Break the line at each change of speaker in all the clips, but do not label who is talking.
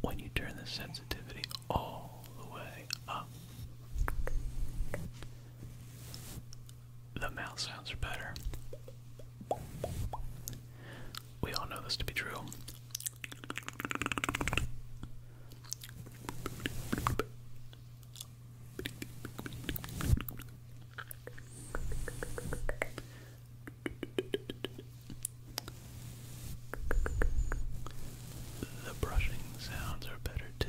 When you turn the sensitivity all the way up, the mouth sounds are better.
We all know this to be true. The brushing sounds are better too.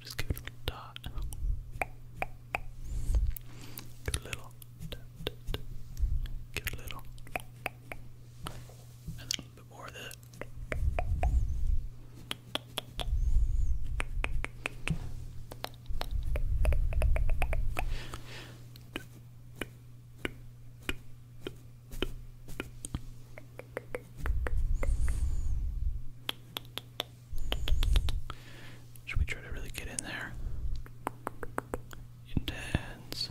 Just give it a little dot. Give it a little. Give it a little. And then a little bit more of that. Should we try to really get in there? Intense.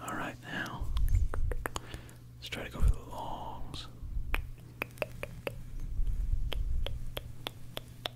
All right, now let's try to go for the longs.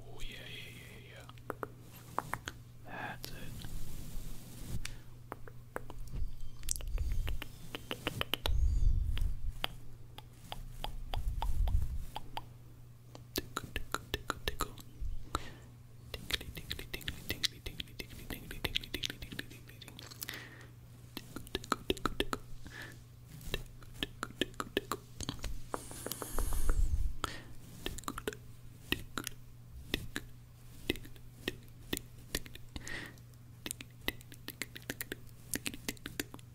Oh, yeah, yeah, yeah, yeah. That's it. Tickle, tickle, tickle, tickle. Tickly, tickly, tickly, tickly, tickly, tickly, tickly, tickly, tickly, tickly, tickly. Tickle, tickle, tickle, tickle. Tickle, tickle, tickle, tickle. Tickle, tickle, tickle, tickle, tickle, tickle. Tickle, tickle, tickle, tickle, tickle, tickle, tickle, tickle.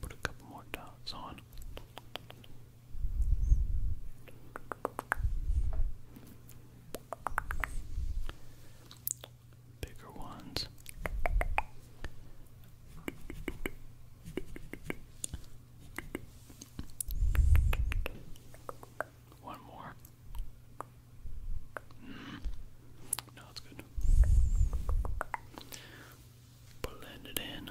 Put a couple more dots on bigger ones. One more. Mm-hmm. No, it's good. Blend it in.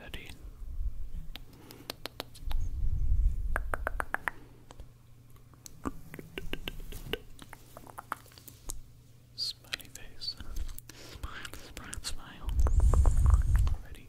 Ready. Smiley face. Smile, smile, smile. Ready. Ready.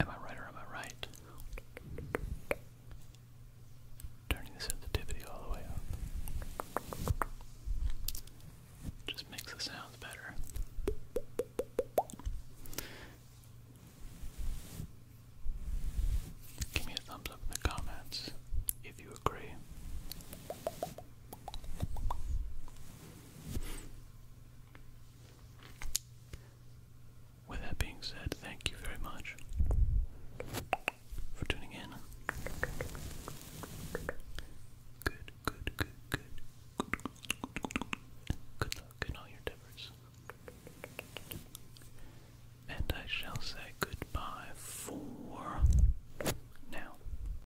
Am I right or am I right? Turning the sensitivity all the way up. Just makes the sounds better.
Give me a thumbs up in the comments if you agree. With that being said, thank you very much for tuning in. Good, good, good, good. Good luck in all your endeavors. And I shall say goodbye for now.